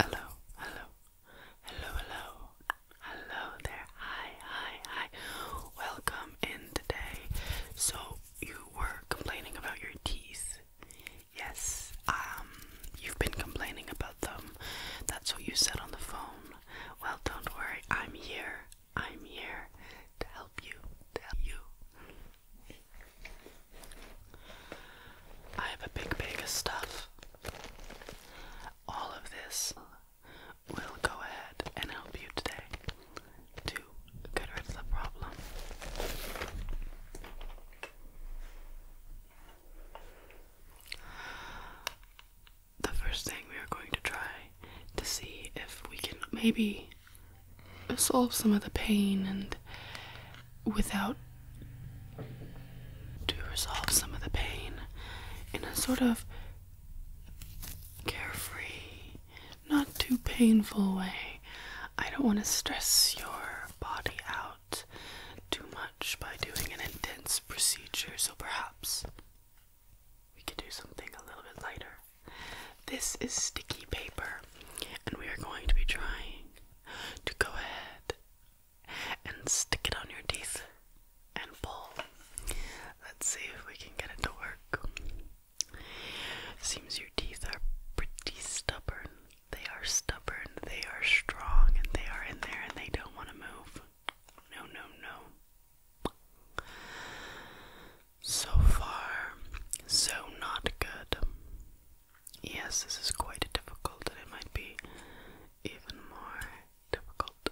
Hello, hello, hello, hello, hello there. Hi, hi, hi. Welcome in today. So, you were complaining about your teeth. Yes, um, you've been complaining about them. That's what you said on the phone. Well, don't worry, I'm here. I'm here to help you. To help you. I have a big bag of stuff. All of this will go ahead and help you today to get rid of the problem. The first thing we are going to try to see if we can maybe Resolve some of the pain and without to resolve some of the pain in a sort of carefree, not too painful way. I don't want to stress your body out too much by doing an intense procedure, so perhaps we could do something a little bit lighter. This is sticky paper, and we are going to be trying to go ahead and stick it on your teeth and pull. Let's see if we can get it to work. Seems your teeth are pretty stubborn. They are stubborn, they are strong, and they are in there and they don't want to move. No, no, no. So far, so not good. Yes, this is quite difficult, and it might be even more difficult.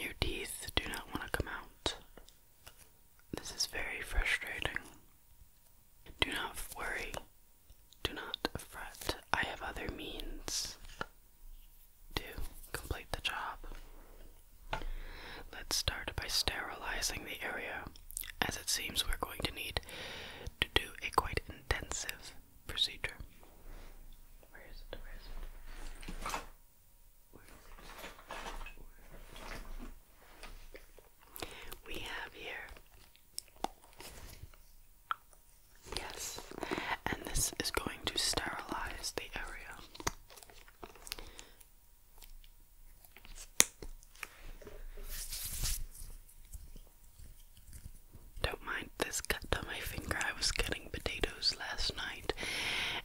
Your teeth do not want to come out. This is very frustrating. Do not worry. Do not fret. I have other means to complete the job. Let's start by sterilizing the area, as it seems we're going to need to do a quite intensive procedure. We have here. Yes, and this is going to sterilize the area. Don't mind this cut on my finger. I was cutting potatoes last night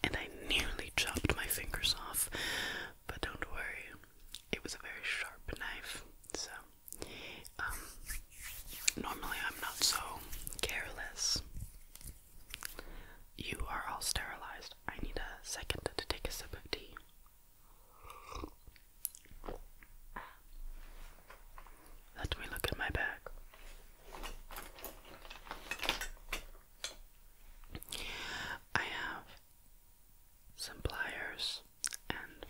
and I nearly chopped my fingers off. But don't worry, it was a very sharp knife. So, um, normally I'm not so careless. You are all sterilized. I need a second to take a sip of tea. Let me look at my bag. I have some pliers and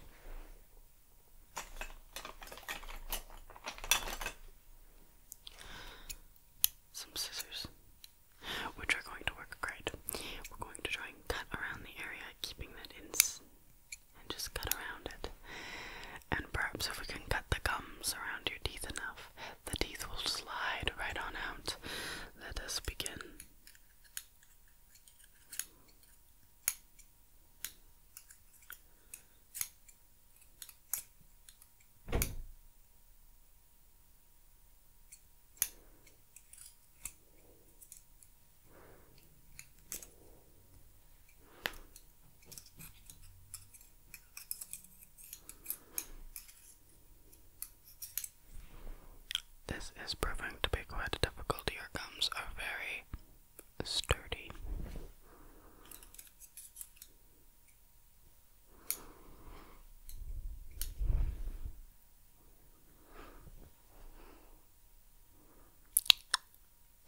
some scissors which are going to work great. We're going to try and cut around the area, keeping that in, and just cut around it. And perhaps if we can cut the gums around your teeth enough, the teeth will slide right on out. Let us begin. This is proving to be quite difficult. Your gums are very sturdy.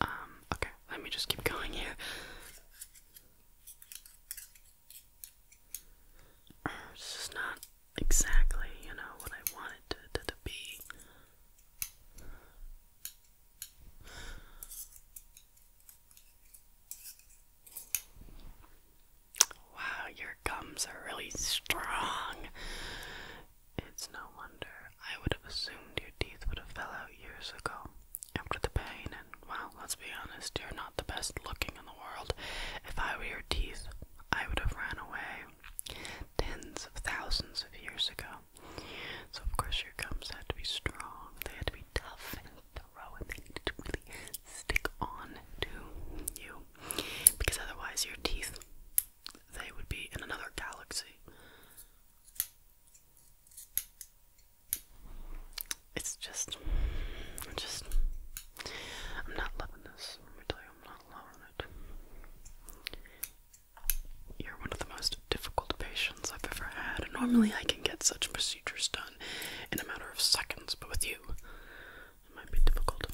Um, okay, let me just keep going here. Er, this is not exactly, you know, what I wanted to, to be. Wow, your gums are really strong. It's no wonder. I would have assumed your teeth would have fell out years ago after the pain, and well, let's be honest, you're not the best looking in the world. If I were your teeth, I would have ran away tens of thousands of years ago. So, of course, your gums had to be strong, they had to be tough and row and they need to really stick on to you because otherwise your teeth they would be in another galaxy. It's just, just, I'm not loving this. Let me tell you, I'm not loving it. You're one of the most difficult patients I've ever had. Normally, I can get such procedures done in a matter of seconds, but with you, it might be difficult.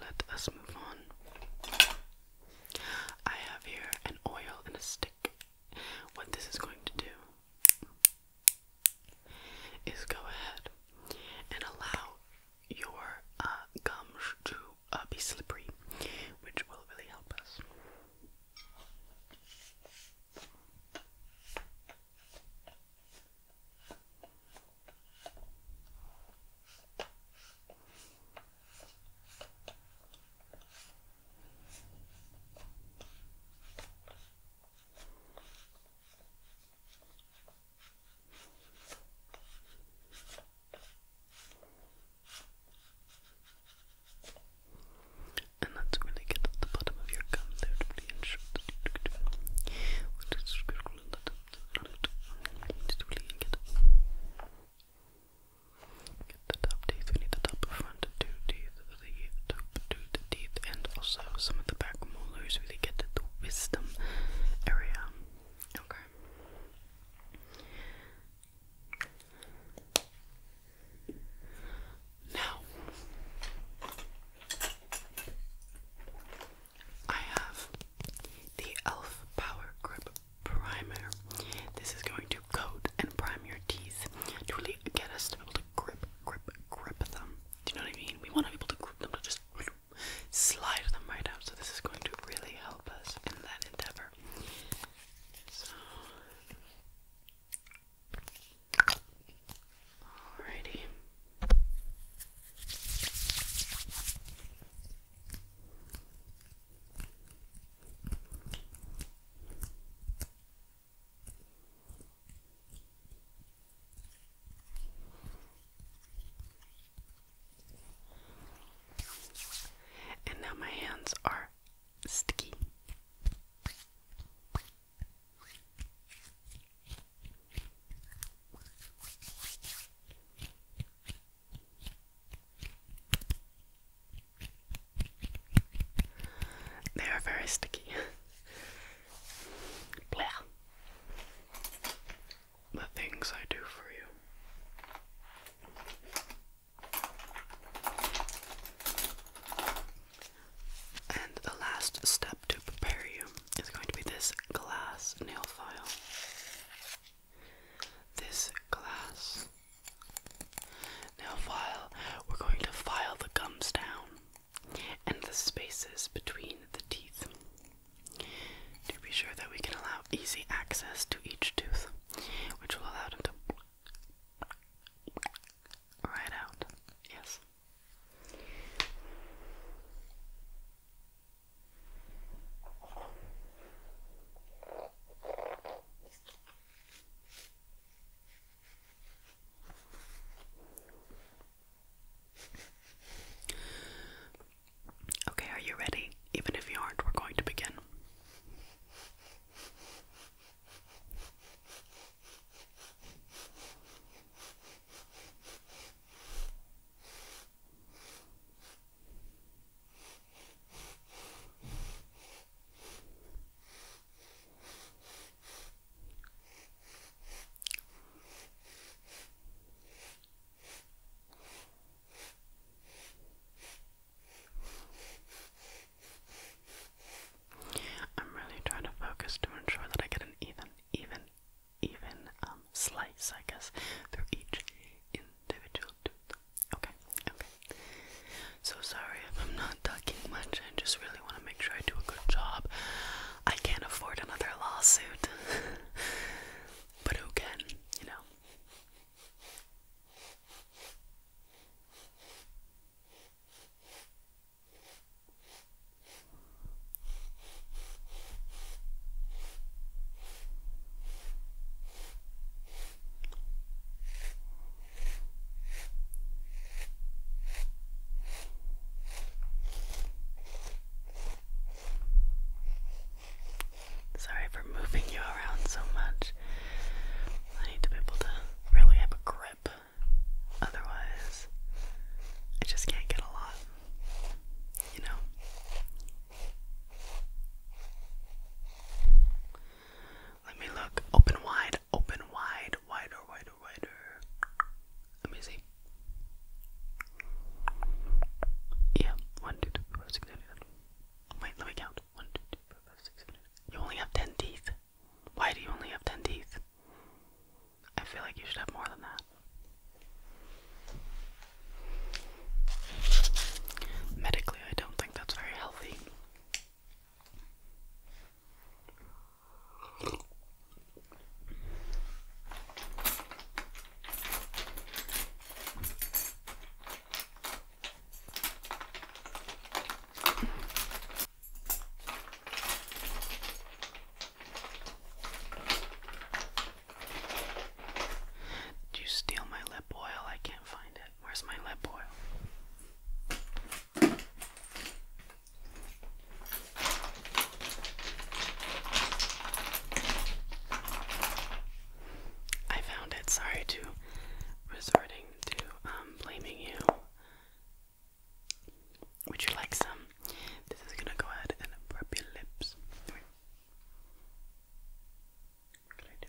Let us move on. I have here an oil and a stick. What this is going to do is go ahead and allow your uh, gums to uh, be slippery, which will really help us. And let's really get at the bottom of your gum there to really We'll just get Get the top teeth, we need the top front two teeth, the top two teeth, and also some of the back molars really get to the wisdom area. Okay. Now, I have the e.l.f. Power Grip Primer. This is going to coat and prime your teeth to really get us to be able to grip, grip, grip them. Do you know what I mean? We want to be able to grip them, to just slide them right out. So, this is going to really help us in that endeavor. So alrighty. And now my hands are sticky. They are very sticky. Blah the things I do for you. And the last step to prepare you is going to be this glass nail file. This glass nail file, we're going to file the gums down and the spaces between the teeth to be sure that we can allow easy access to each tooth, which will allow them to right out. Yes. Okay, are you ready? Even if you aren't, we're going to begin. I'm really trying to focus to ensure that I get an even, even, even um, slice, I guess, through each individual tooth. Okay, okay. So sorry if I'm not talking much. I just really want to make sure I do a good job. I can't afford another lawsuit. But who can, you know? Sorry for moving you around so much. I need to be able to really have a grip. Otherwise, I just can't get a lot, you know? Let me look. Open wide, open wide, wider, wider, wider. Let me see. Yeah, one, two, three, four, five, six, seven, eight, nine. Wait, let me count. One, two, three, four, You only have ten teeth. Why do you only have ten teeth? I feel like you should have more than that. Medically, I don't think that's very healthy. Did you steal my lip oil? I can't find it. Where's my lip oil? I found it. Sorry to resorting to um, blaming you. Would you like some? This is gonna go ahead and rub your lips. What can I do?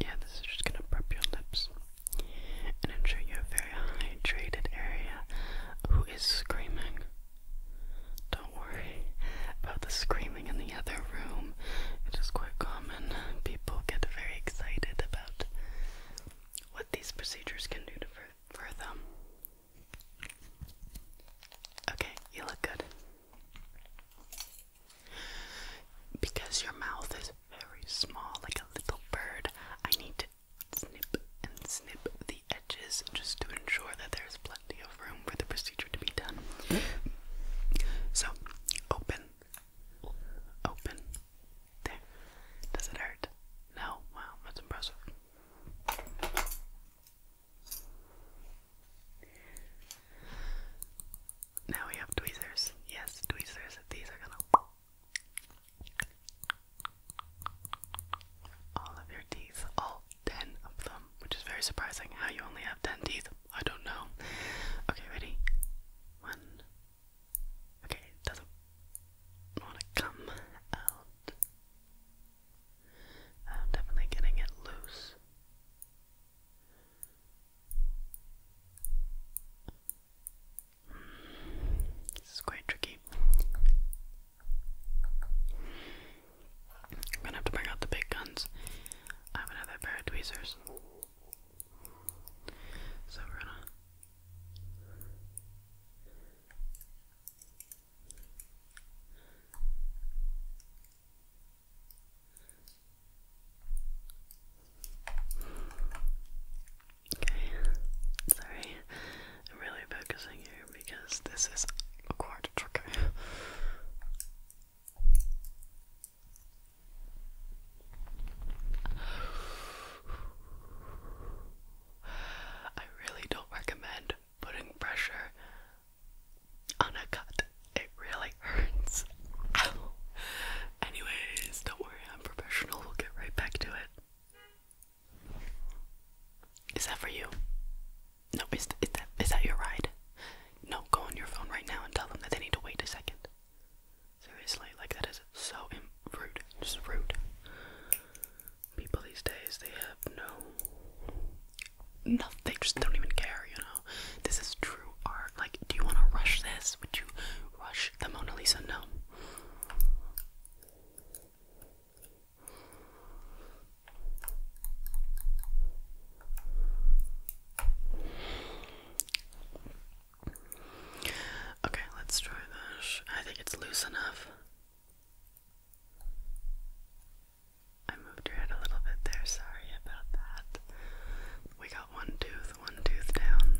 Yeah, this is just gonna prep your lips and ensure you have very hydrated area. Who is screaming? Don't worry about the screaming in the other room. It is quite common. People get very excited about what these procedures can do to for them. Okay, you look good. Because your mouth is very small, like a little bird, I need to snip and snip the edges just to ensure that there's plenty of room for the procedure to be done. So, open, open, there. Does it hurt? No? Wow, that's impressive. Now we have tweezers. Yes, tweezers. These are gonna. All of your teeth, all ten of them, which is very surprising. How you only have ten teeth, I don't know. Okay, ready? One. Okay, doesn't want to come out. I'm definitely getting it loose. This is quite tricky. I'm gonna have to bring out the big guns. I have another pair of tweezers. So we're gonna Okay, sorry, I'm really focusing here because this is a quite tricky. I really don't recommend putting pressure on a cut. It really hurts. Anyways, don't worry, I'm professional. We'll get right back to it. Is that for you? No, is, is that is that your ride? No, go on your phone right now and tell them that they need to wait a second. Seriously, like that is so rude. Just rude. People these days, they have no no, they just don't even care, you know. This is true art. Like, do you want to rush this? Would you rush the Mona Lisa? No. Okay, let's try this. I think it's loose enough. I moved your head a little bit there, sorry about that. We got one tooth, one tooth down.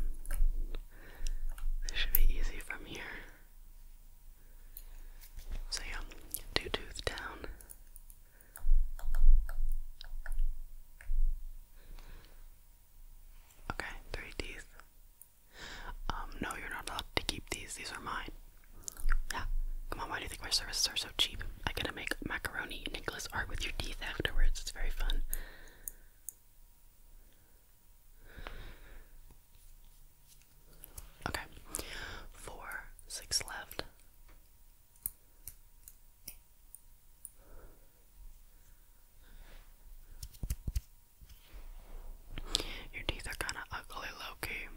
This should be easy from here. So yeah, two tooth down. Okay, three teeth. Um, no, you're not allowed to keep these. These are mine. Yeah. on. why do you think my services are so cheap? I gotta make macaroni Nicholas art with your teeth afterwards. It's very fun. Okay. Four, six left. Your teeth are kinda ugly, Loki.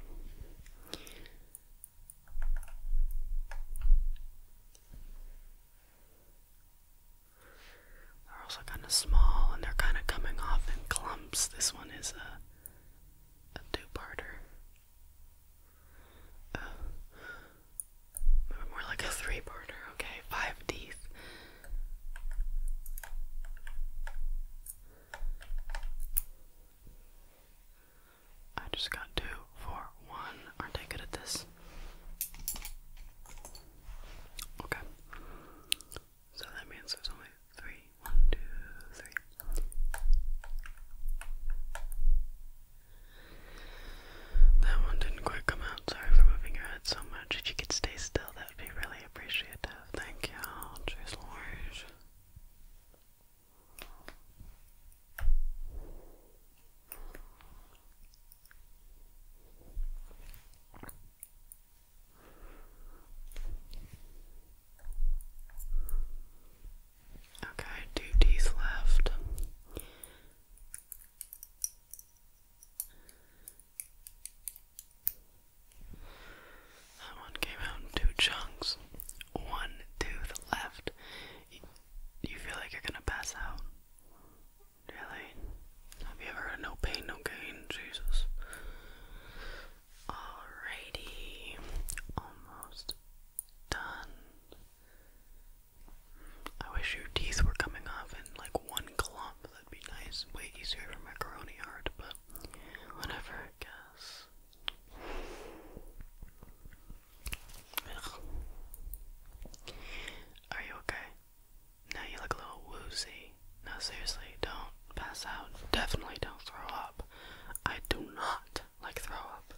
They're also kind of small and they're kind of coming off in clumps. This one is a, a two-parter. Uh, more like a three-parter, okay? Five teeth. I just got two for one. Aren't I good at this? Okay. So that means there's only three. One, two, three. That one didn't quite come out. Sorry for moving your head so much. If you could stay still, that would be really appreciated. Thank you. Cheers, Lord. Okay, two D's left. That one came out in two chunks. One two. the left. You feel like you're gonna pass out. Really? Have you ever heard no pain, no gain? Jesus. Alrighty. Almost done. I wish your teeth were coming off in like one clump. That'd be nice. Way easier for macaroni art, but whatever, are you okay? Now you look a little woozy. No, seriously, don't pass out. Definitely don't throw up. I do not like throw up.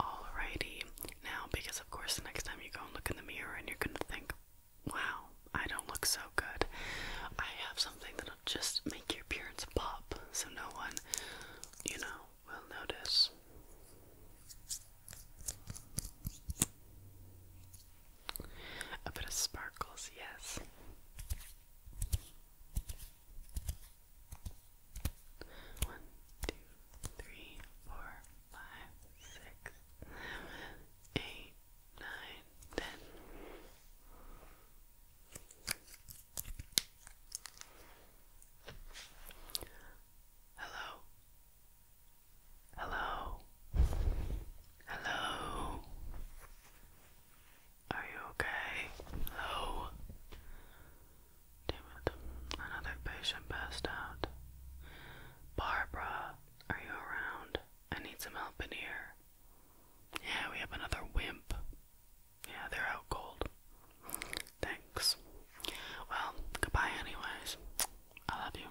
Alrighty. Now, because of course, the next time you go and look in the mirror and you're gonna think, wow, I don't look so good. I have something that'll just make your appearance pop so no one, you know, will notice. A bit of sparkles, yes. One, two, three, four, five, six, seven, eight, nine, ten. Hello. Hello. Hello. Are you okay? Hello. Damn it. Another patient passed out. Barbara, are you around? I need some help in here. Yeah, we have another wimp. Yeah, they're out cold. Thanks. Well, goodbye, anyways. I love you.